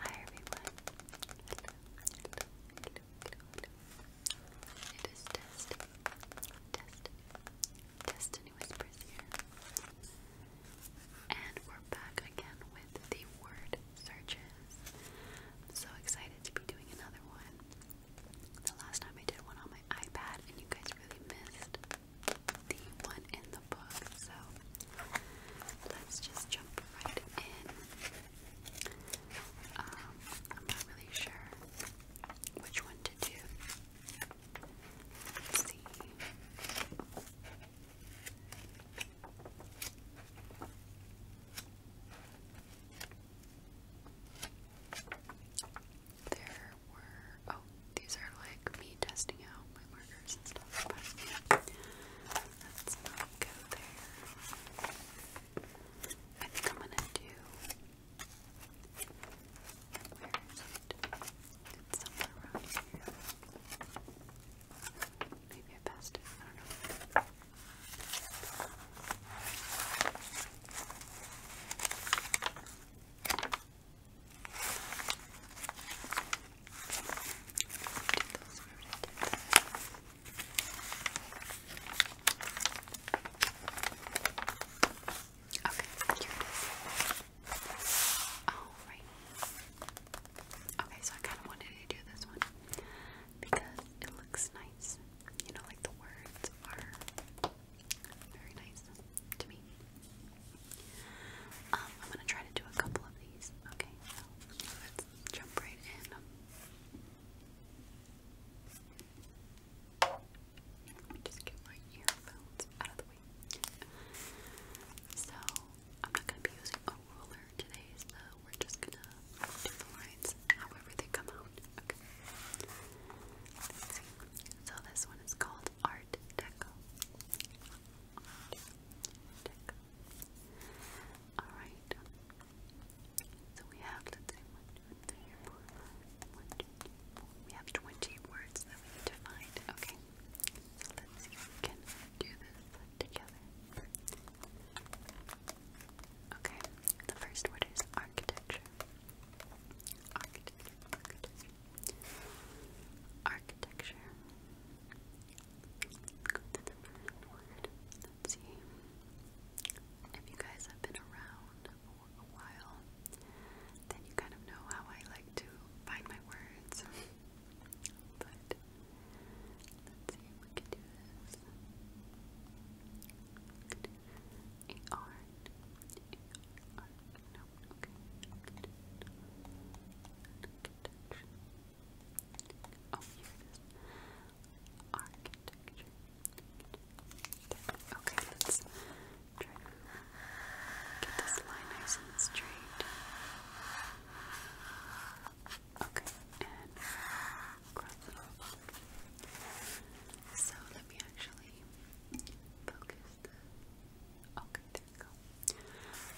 Hi everyone. It is Destiny. Destiny. Destiny Whispers here. And we're back again with the word searches. I'm so excited to be doing another one. The last time I did one on my iPad and you guys really missed the one in the book. So let's just jump right in. Um, I'm not really sure which one to do. see. There were Oh, these are like me testing out my markers and stuff, but yeah. Let's not go there. I think I'm gonna do. Where is around here. Maybe I passed I don't know here it is. Oh, Okay, so I kind of wanted to do this one because it looks nice. You know, like the words are very nice to me. Um, I'm gonna try to do a couple of these. Okay, so let's jump right in. Let me just get my earphones out of the way. So I'm not gonna be using a ruler today, so we're just gonna do the lines however they come out. Okay. So this one is called Art Deco. Alright. So we have, let's see, one, two, three, four, one, two, three, four. We have 20 words that we need to find. Okay. So let's see if we can do this together. Okay. The first word is Architecture. Architecture. Architecture. see. If you guys have been around for a while, then you kind of know how I like to find my words. but see if we can do this. We can do A R. A R now. Okay. Good. Architecture. Oh, here it is. Architecture. Okay, let's try to get this line nice and straight. Okay, and cross it off. So let me actually focus the. Okay,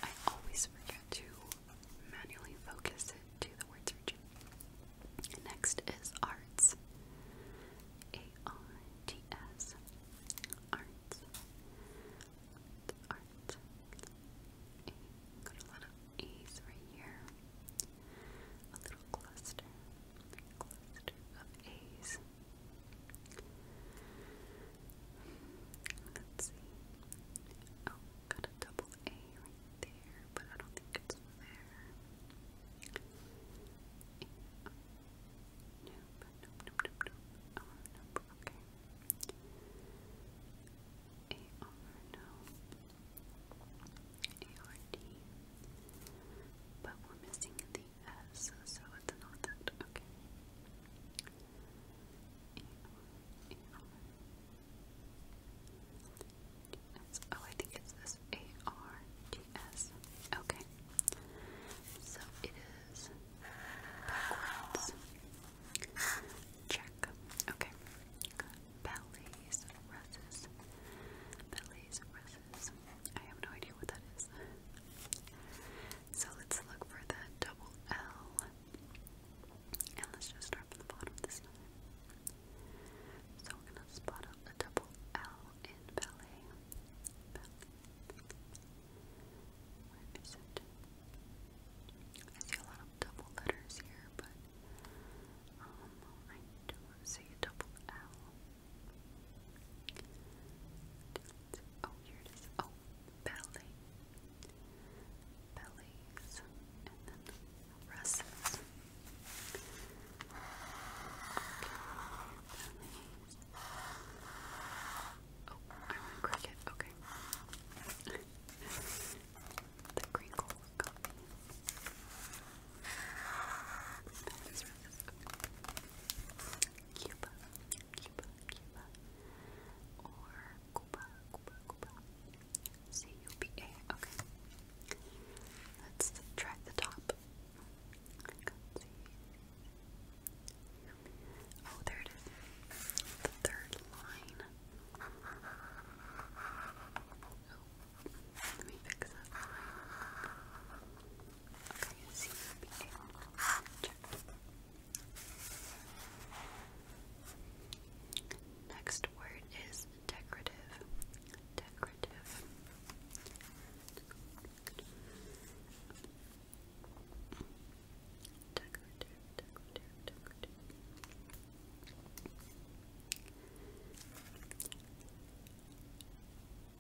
I always forget to manually focus it to the words region. Next is arts. A-R-T-S. Arts. Art. got a lot of A's right here. A little cluster. cluster of A's. Let's see. Oh, got a double A right there, but I don't think it's there. Yeah. Nope, nope, nope, nope, nope. Oh, nope, okay. A R But we're missing the S so it's not that okay. Oh, I think it's this A R D S. Okay. So it is backwards. Check. Okay. Ballets, russes. Ballets, russes. I have no idea what that is. So let's look for the double L. And let's just start from the bottom this time. So we're gonna spot a double L in ballet. ballet. I see a lot of double letters here, but um, I don't see a double L. Oh, here it is. Oh, belly, bellies, and then russes. Oh, I want to crack Okay. the crinkles got Cuba, Cuba, Cuba, Cuba, or Cuba, Cuba, Cuba, C-U-B-A, okay. Let's try the top. I can see. Oh, there it is. The third line. let me fix that Okay, C-U-B-A, check. Next word is decorative. Decorative. Decorative, decorative,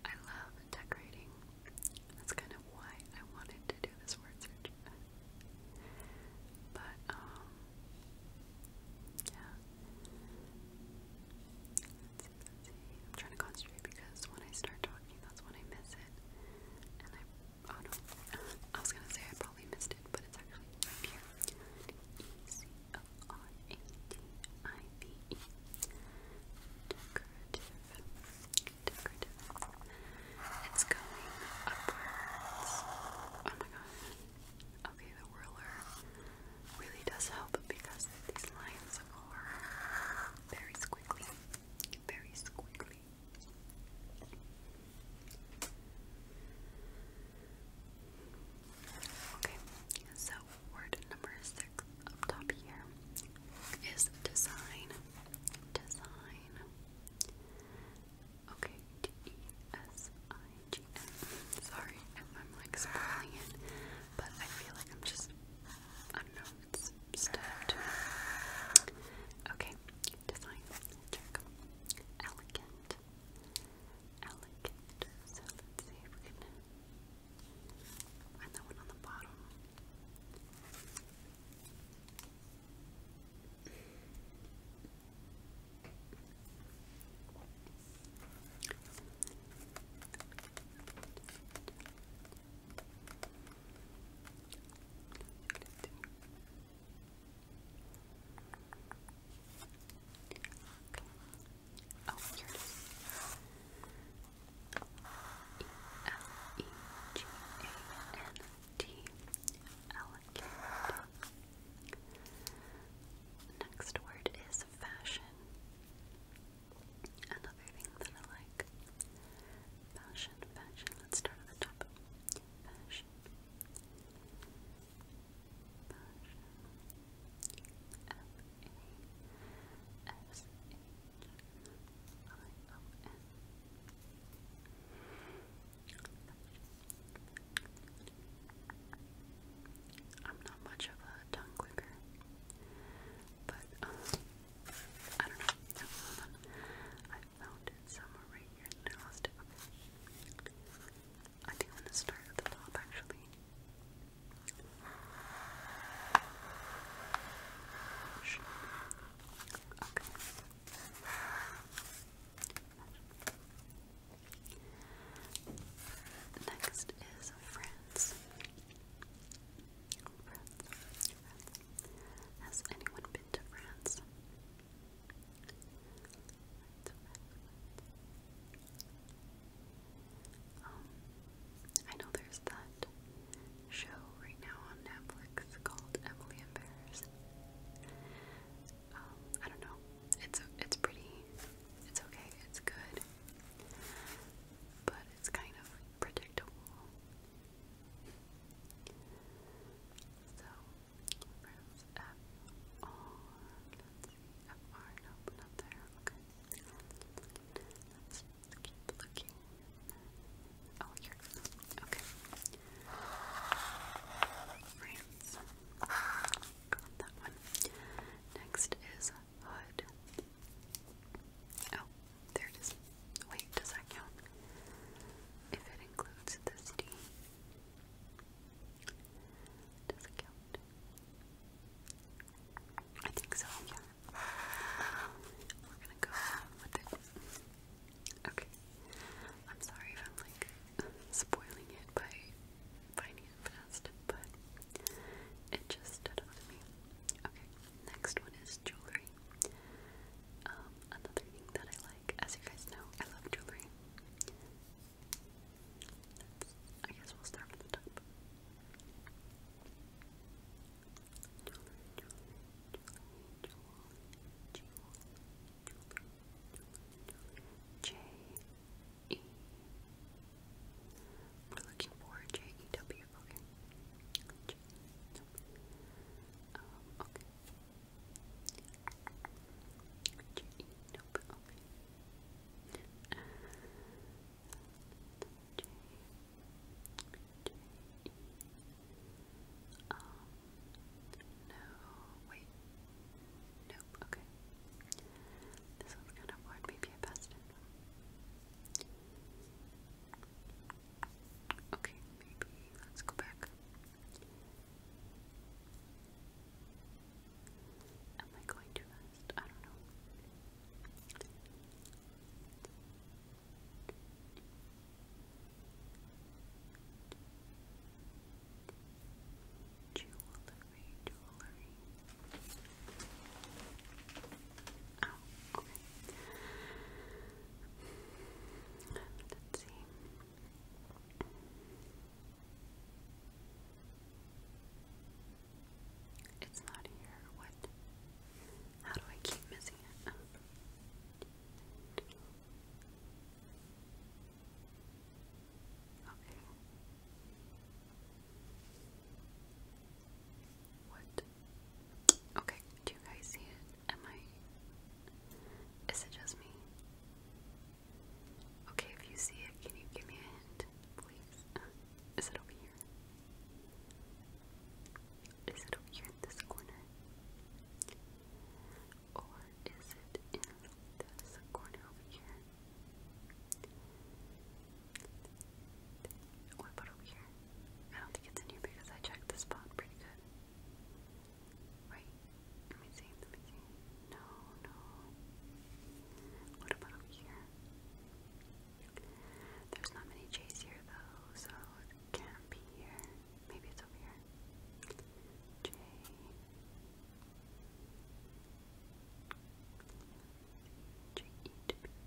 I love decorating. That's kind of why I wanted to do this word search. But, um, yeah. Let's see, let's see. I'm trying to concentrate because when I start talking, that's when I miss it. And I, oh no, I was gonna say I probably missed it, but it's actually right here. It's going upwards. Oh my god. Okay, the whirler really does help because these lines are very squiggly. Very squiggly. Okay, so word number six up top here is design. Design sign. Okay, D E S I G N. Sorry I'm like spoiling it, but I feel like I'm just I don't know, it's Okay, design check. Elegant. Elegant. So let's see if we can find that one on the bottom. Oh, here it is. E L E G A N T Next word is fashion. Another thing that I like. Fashion, fashion. Let's start at the top. Fashion. I'm not much of a tongue clicker, but um, I don't know. I found it somewhere right here and I lost it. I think i to start at the top actually. Okay. Next is France. France. France. Has anyone been to France? Um, I know there's that show right now on Netflix called Emily in Paris. Um, I don't know. It's it's pretty. It's okay. It's good. But it's kind of predictable. So, press F R. Let's see, not there. Okay. Let's looking. Oh, here Okay. France. Got that one. Next is hood. Oh, there it is. Wait, does that count? If it includes the city. Does it count? I think so, yeah. We're gonna go with it. Okay. I'm sorry if I'm like spoiling it by finding it fast, but it just stood out to me. Okay, next one is jewelry. Um, another thing that I like, as you guys know, I love jewelry. I guess we'll start from the top. J E. We're looking for J E W. Okay. J -E -W. Okay. J J E um, no, wait. Nope, okay. This one's kind of bored. Maybe I it. Okay, maybe. Let's go back. Am I going too fast? I don't know. Jewelry, jewelry. Oh, okay. Let's see. It's not here. What? How do I keep missing it? Okay. What? Okay, do you guys see it? Am I. Is it just me? Okay, if you see it, can you give me a hint, please? is it over here? Is it over here in this corner? Or is it in this corner over here? What about over here? I don't think it's in here because I checked the spot pretty good. Right? Let me see, let me see. No, no. What about over here? There's not many J's here though, so can't be here. Maybe it's over here. J. J E W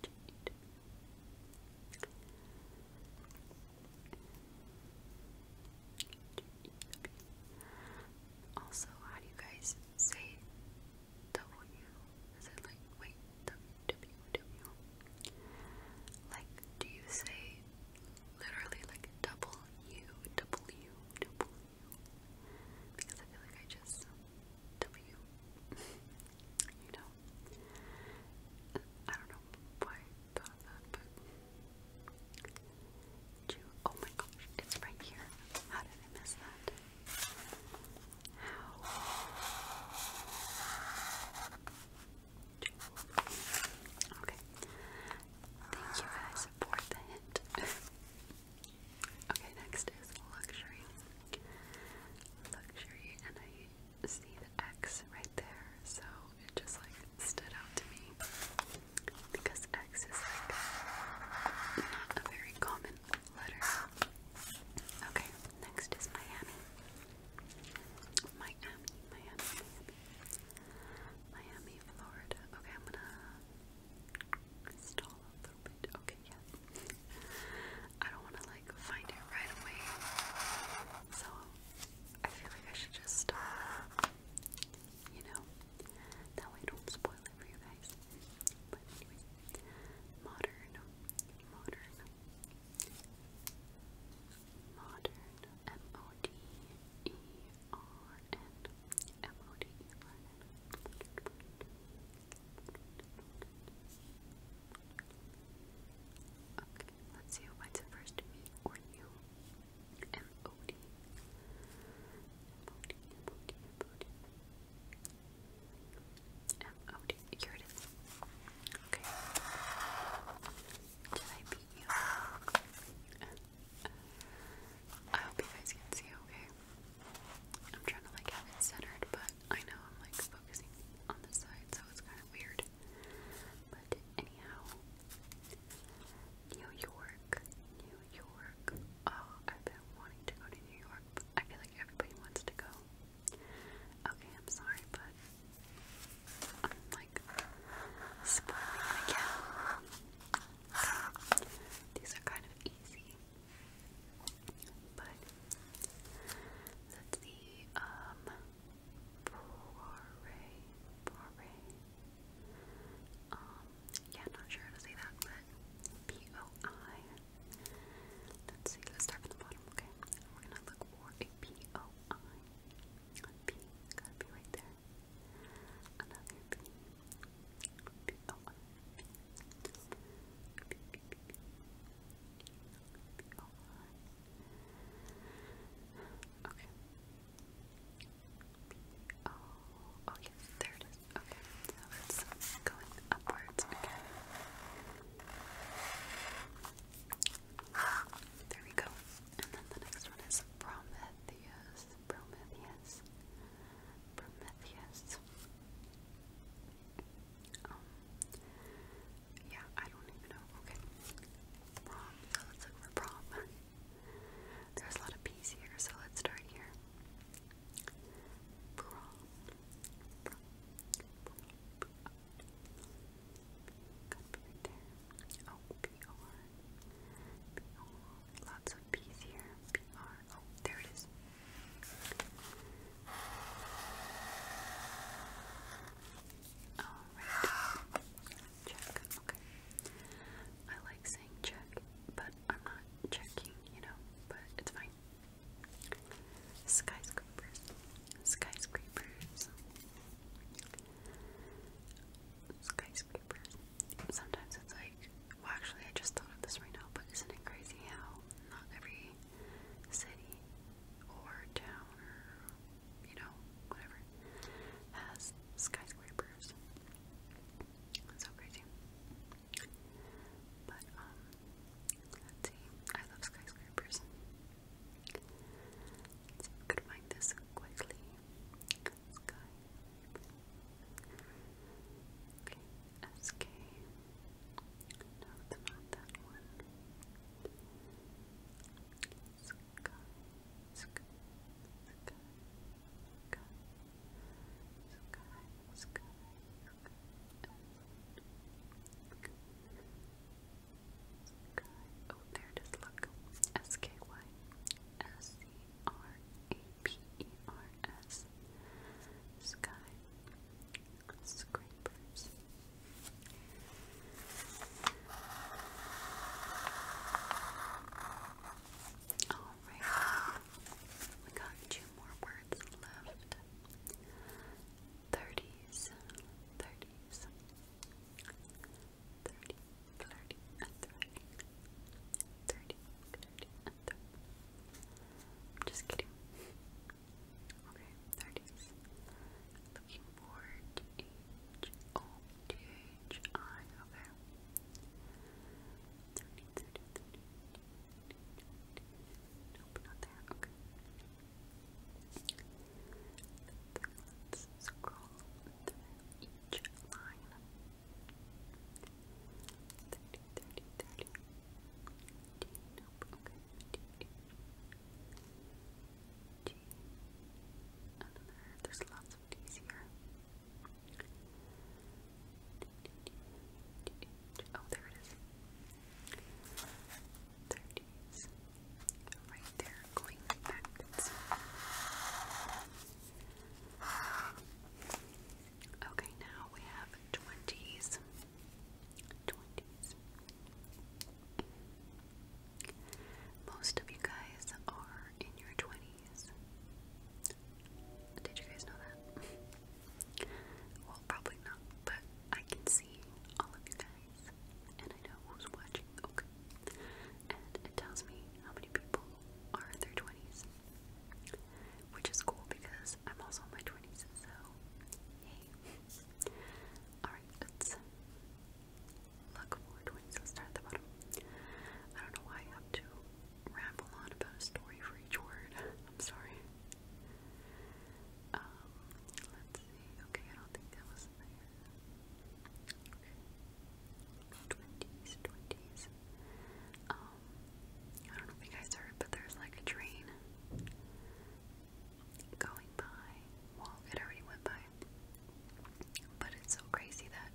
J E W. Also, how do you guys say W? Is it like wait W W W? Like, do you say literally like double U, double U, Because I feel like I just W. you know? I don't know why thought that, but. Oh my gosh, it's right here. How did I miss that? How? Okay. Thank you guys for the hint. okay, next is luxury. Luxury, and I see the X right there, so it just like stood out to me because X is like not a very common letter. Okay, next is Miami. Miami, Miami, Miami. Florida. Okay, I'm gonna stall a little bit. Okay, yeah. I don't wanna like find it right away. So I feel like I should just stop. You know? That way I don't spoil it for you guys. Modern. Modern. Modern M O D E R N M O D E R N Okay, let's see who finds it first, me or you. M O D M O D M O D M O D M O D here it is. Okay. Did I beat you? I hope you guys can see okay. I'm trying to like have it centered, but I know I'm like focusing on the side, so it's kind of weird. But anyhow, New York, New York. Oh, I've been wanting to go to New York. I feel like everybody wants to go. Okay, I'm sorry, but I'm like spoiling again. These are kind of easy. But let's see, um blu Um, yeah, not sure how to say that, but P-O-I. Let's see, let's start from the bottom, okay? We're gonna look for a P-O-I. P, gotta be right there. Another P. P. P. P. P. P. Okay. Oh, oh yes, there it is. Okay, so it's going upwards again. There we go. And then the next one is Prometheus. Prometheus. Prometheus. Um, yeah, I don't even know. Okay. Prom. So let's look for prom. There's a lot of P's here, so let's start here. Prom there. Lots of P's here. PR. Oh, there it is. Alright. Check. Okay. I like saying check, but I'm not checking, you know, but it's fine. Skyscrapers. Skyscrapers skyscrapers. Sometimes it's like, well, actually, I just thought of this right now, but isn't it crazy how not every city or town or you know, whatever has skyscrapers? It's so crazy. But, um, see. I love skyscrapers. Let's could find this quickly. SK. No, it's not that one. Sky. Sky. Sky. Sky. Sky. Sky. Sky. Oh, there it is, look. S-K-Y-S-C-R-A-P-E-R-S. -E Sky Scrapers. Alright, we got two more words left. Thirties, thirties, thirty, flirty, I'm just kidding. Okay, there it is. Looking H O T H I. Okay. Thirty, thirty, thirty. Nope, not there. Okay. Let's scroll through each line. 30, there's lots of D's here. oh, there it is. 30s. Right there, going backwards. Okay, now we have 20s. 20s. Most of you guys are in your 20s. Did you guys know that? Well, probably not, but I can see all of you guys and I know who's watching, okay? And it tells me how many people are in their 20s, which is cool because I'm also in my 20s, so yay. Alright, let's look for 20s. start at the bottom. I don't know why I have to ramble on about a story for each word. I'm sorry. Um, let's let Okay, I don't think that was there. Twenties, um, I don't know if you guys heard, but there's like a train going by. Well, it already went by. But it's so crazy that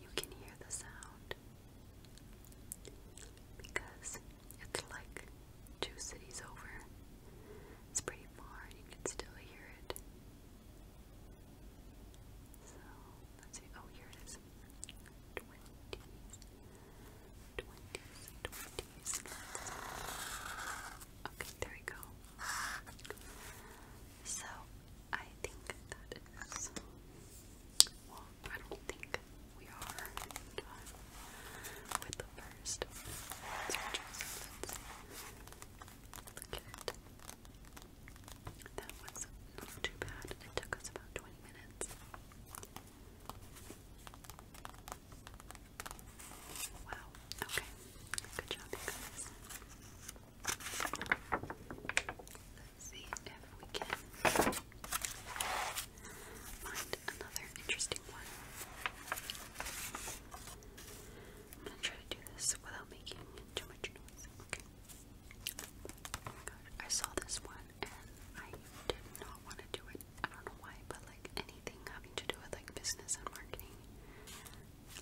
you can hear the sound because it's like two cities over. It's pretty far you can still hear it. So let's see. Oh, here it is. Okay, there we go. So I think that is. Well, I don't think we are with the 1st that was not too bad. It took us about 20 minutes. Wow. Okay. Good job, guys. Let's see if we can find another interesting one. I'm gonna try to do this without making too much noise. Okay. Oh I saw this one and I did not want to do it. I don't know why, but like anything having to do with like business and marketing,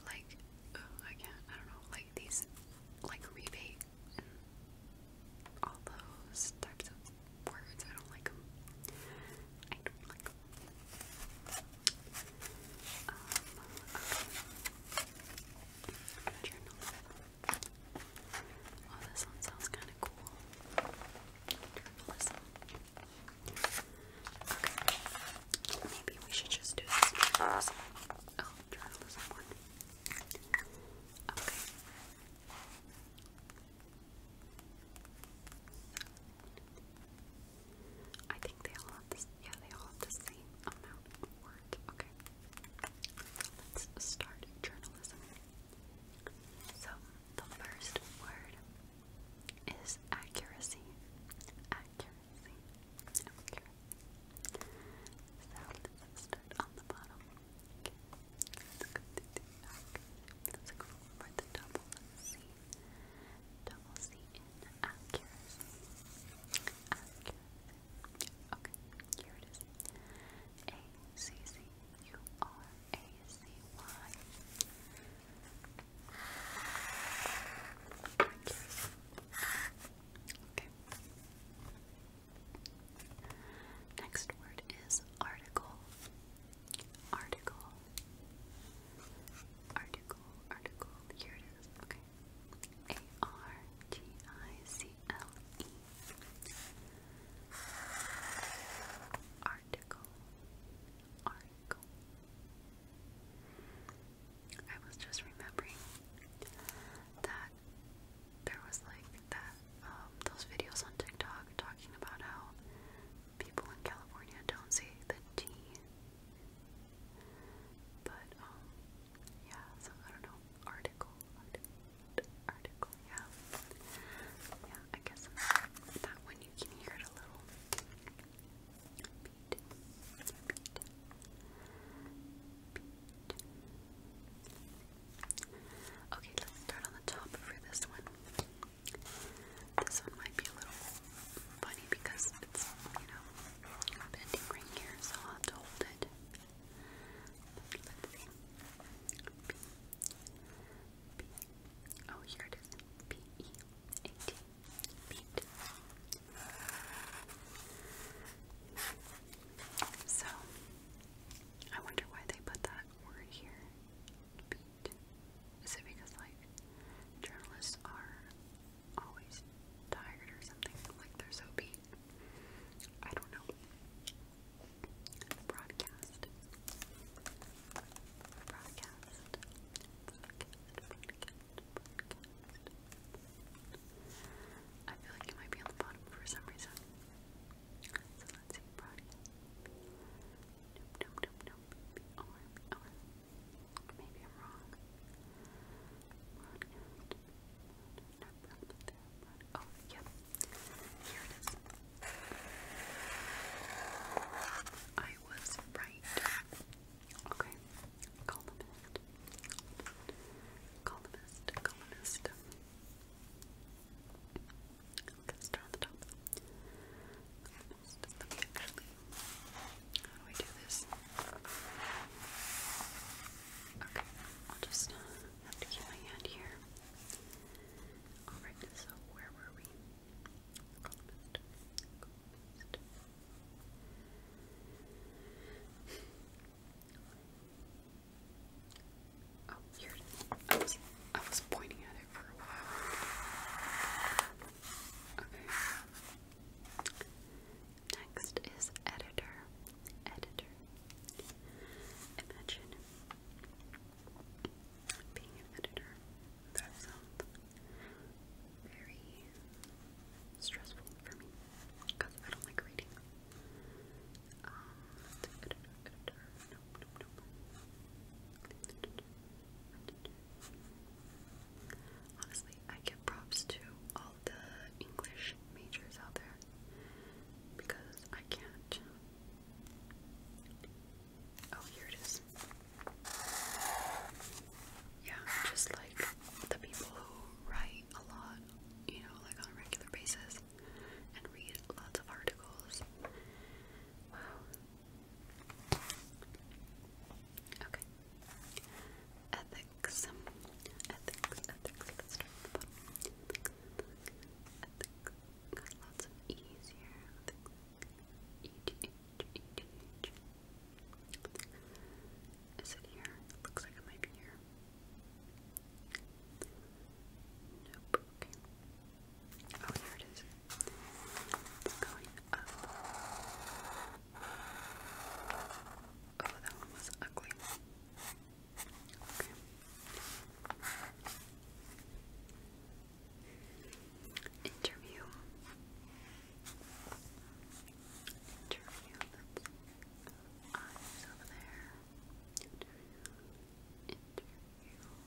like I can't. I don't know. Like these, like rebate and all those types of words. I don't like I don't like Oh, this one sounds kind of cool. Maybe we should just do this journalism one. Okay. I think they all have this. Yeah, they all have the same amount of words. Okay. let's start journalism. So the first word is accuracy. Accuracy. Accuracy. let's start on the bottom. Okay. Let's go Let's go for the double C. Double C in accuracy. Okay, here it is. A C C Accuracy. Okay. Next word is article. Article. Article, article, here it is, okay. A R T I C L E. Article, article. I was just remembering that there was like that, um, those videos on TikTok talking about how people in California don't say the T. But, um, yeah, so I don't know. Article, article, yeah. Yeah, I guess that one you can hear it a little. Okay, let's start on the top for this one. This one might be a little funny because got you know, bending ring here, so i to hold it. Oh, here it is. P E A T. So, I wonder why they put that word here. it because, like, journalists are always tired or something, like they're so beat. I don't know. Broadcast. Broadcast. I feel like it might be on the bottom for some reason. So let's see. Maybe I'm wrong. Oh, yep. Here it is. I was right. Okay. Columnist. Columnist. Columnist. Let's the top. Let How do I do this? Okay, I'll just have to keep my hand here. Alright, so where were we? Oh, here it is. was, I was pointing at it for a while. Okay. Next is editor. Editor. Imagine being an editor. That sounds very stressful for me because I don't like reading. Um, Honestly, I give props to all the English majors out there because I can't. Oh, here it is. Yeah, just like the people who write a lot, you know, like on a regular basis and read lots of articles. Wow, Okay. Ethics. Ethics, ethics, let's start Ethics, ethics. lots of E's here. Is it here? looks like it might be here. Nope, okay. Oh, here it is. Going up. Oh, that one was ugly. Okay. Interview. Interview. That's eyes over there. Interview. Interview.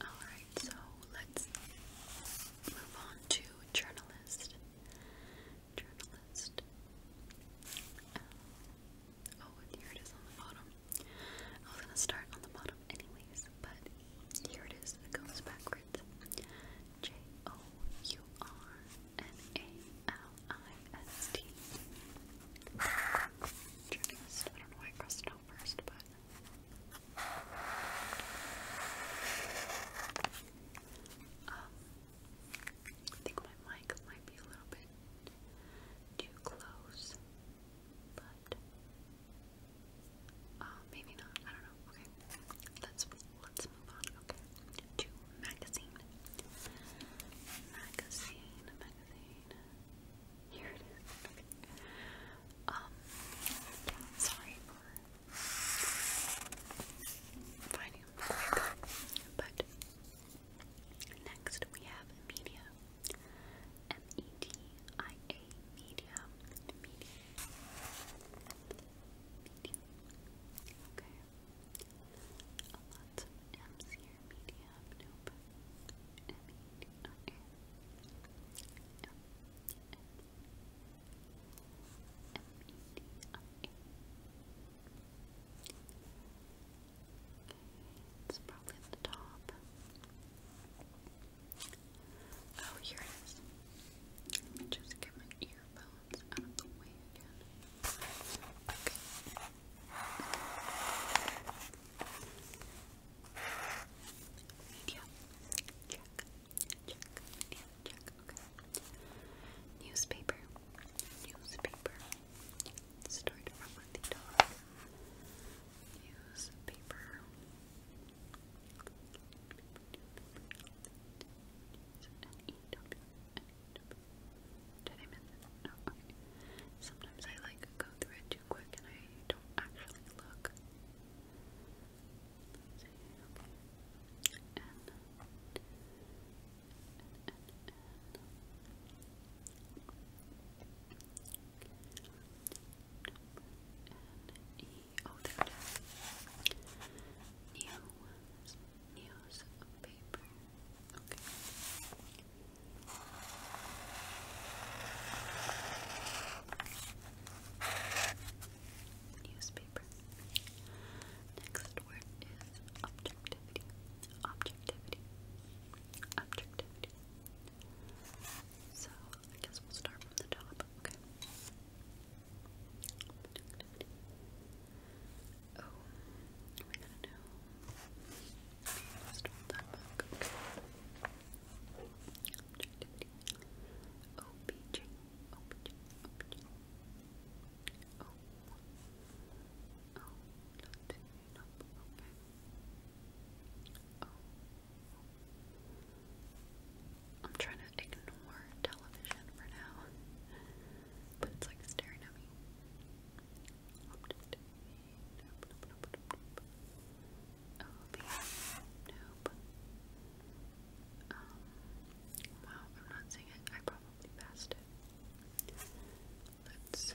Alright, so let's move on to journalist. Journalist. oh, here it is on the bottom. I was gonna start on the bottom anyways, but here it is. It goes backwards. J O U R N A L I S T. Journalist. I don't know why I crossed it out first, but um, I think my mic might be a little bit too close, but uh, maybe not. I don't know. Okay, let's let's move on. to magazine, magazine. Magazine. Here it is. Okay. Um, sorry for finding But next we have media. M-E-D-I-A media. Media. Media. Okay. A lot of M's here. Media. It's probably the top. Oh, here it is. Let me just get my earphones out of the way again. Okay. Media. Check. Newspaper. Newspaper. Start from the top. Newspaper. Sometimes I like go through a too quick and I don't actually look. Let's oh there it is. Neo, Neo's paper. Okay. Newspaper. Next word is objectivity. Objectivity. Objectivity. So I guess we'll start from the top. Okay. Oh, we're to know. Let's start that book. Okay. Oh, I'm trying to ignore television for now, but it's like staring at me. OB. Nope. Um, wow, I'm not seeing it. I probably passed it. Let's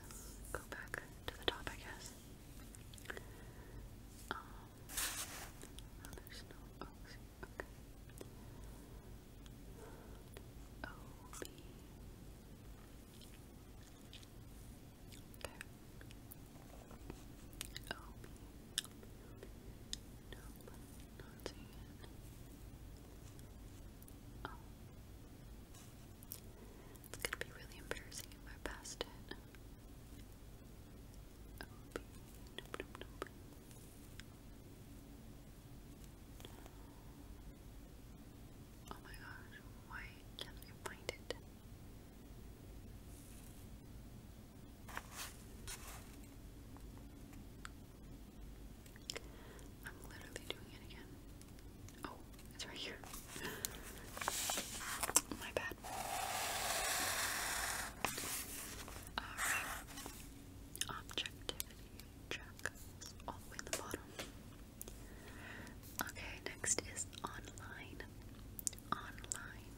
go back to the top, I guess. Um, oh, Okay. OB. Okay. Oh. It's gonna be really embarrassing if I passed it. Oh my gosh, why can't I find it? I'm literally doing it again. Oh, it's right here. My bad. Alright. Objectivity check. All the way at the bottom. Okay, next is online online,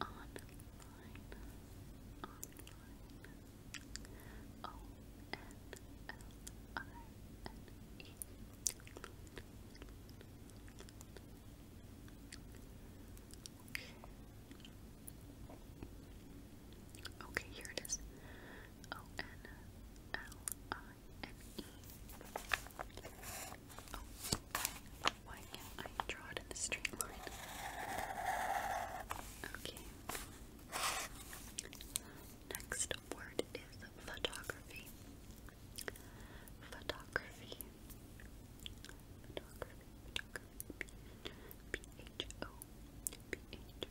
online, online, O N L I N E, okay. Okay, here it is. O N L I N E. Oh, draw it in the straight line? Okay. Next word is photography. Photography. Photography. Photography.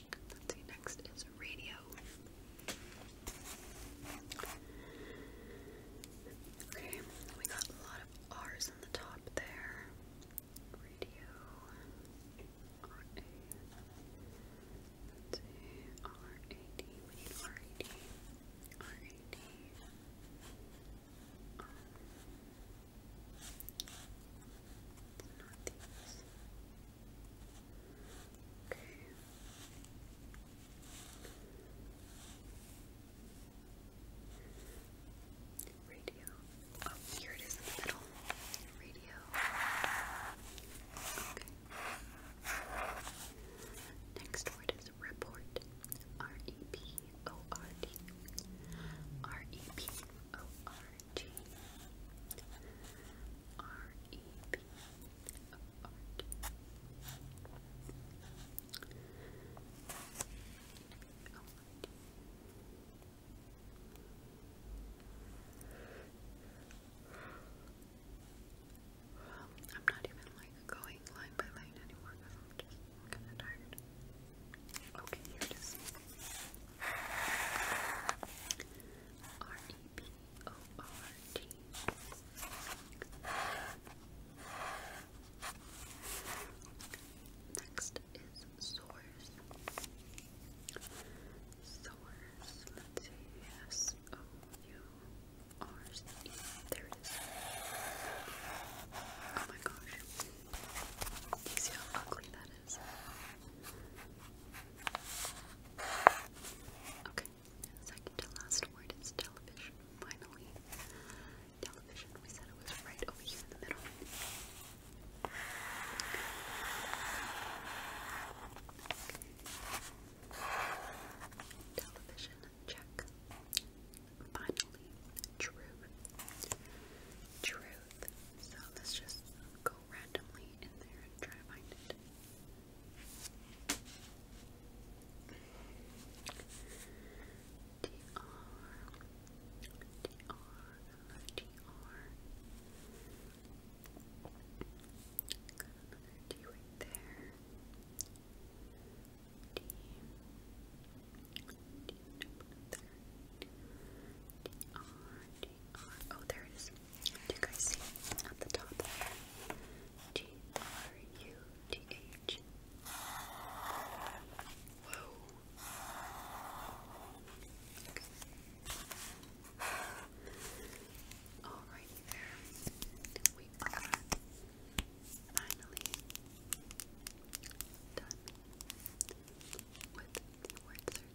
Let's see, next is radio. Okay, we got a lot of R's on the top there. Radio. R We need R A D. R A D. Okay. Radio. Oh, here it is in the middle. Radio. Okay. Next word is report. R E P O R D. R E P O R G. R E P of art. I'm not even like going line by line anymore I'm just kind of tired. Okay, here it is. R E Next is sores. Sores. Let's see. S O U R C E. There it is. Oh my gosh. Do you see how ugly that is? Okay. Second to last word is television. Finally, television. We said it was right over here in the middle. Television check. Finally, truth. Truth. So let's just go randomly in there and try to find it. D right there. D. D, D, there. D, R, D, Oh, there it is. you guys see at the top there? Whoa. Okay. Alrighty there. We are finally done with word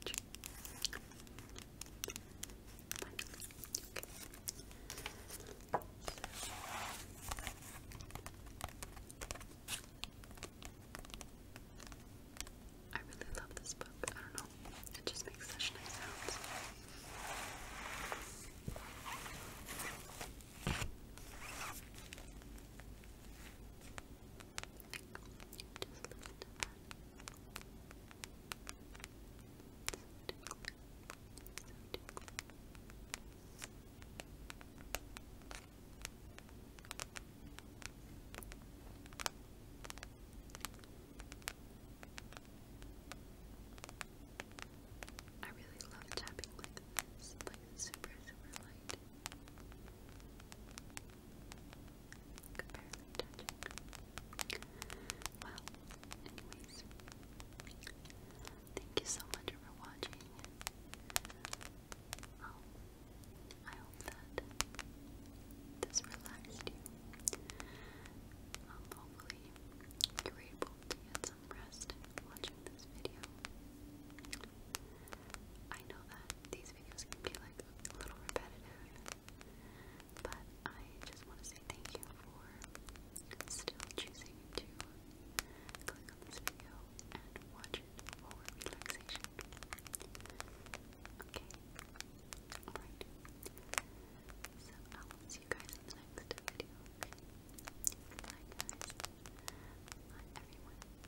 search. Okay. So. I really love this book. I don't know. It just makes such nice sounds. Just listen to that. I really love tapping like this, like super, super light. Could barely touch well, anyways, thank you so much for watching. Oh, I hope that this relaxed you. Um, hopefully, you were able to get some rest watching this video. I know that these videos can be like a little repetitive, but I just want to say thank you for still choosing to click on this video and watch it for relaxation. Okay. Alright. So I'll see you guys in the next video. Bye everyone. Bye everyone.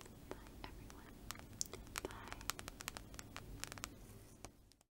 Bye.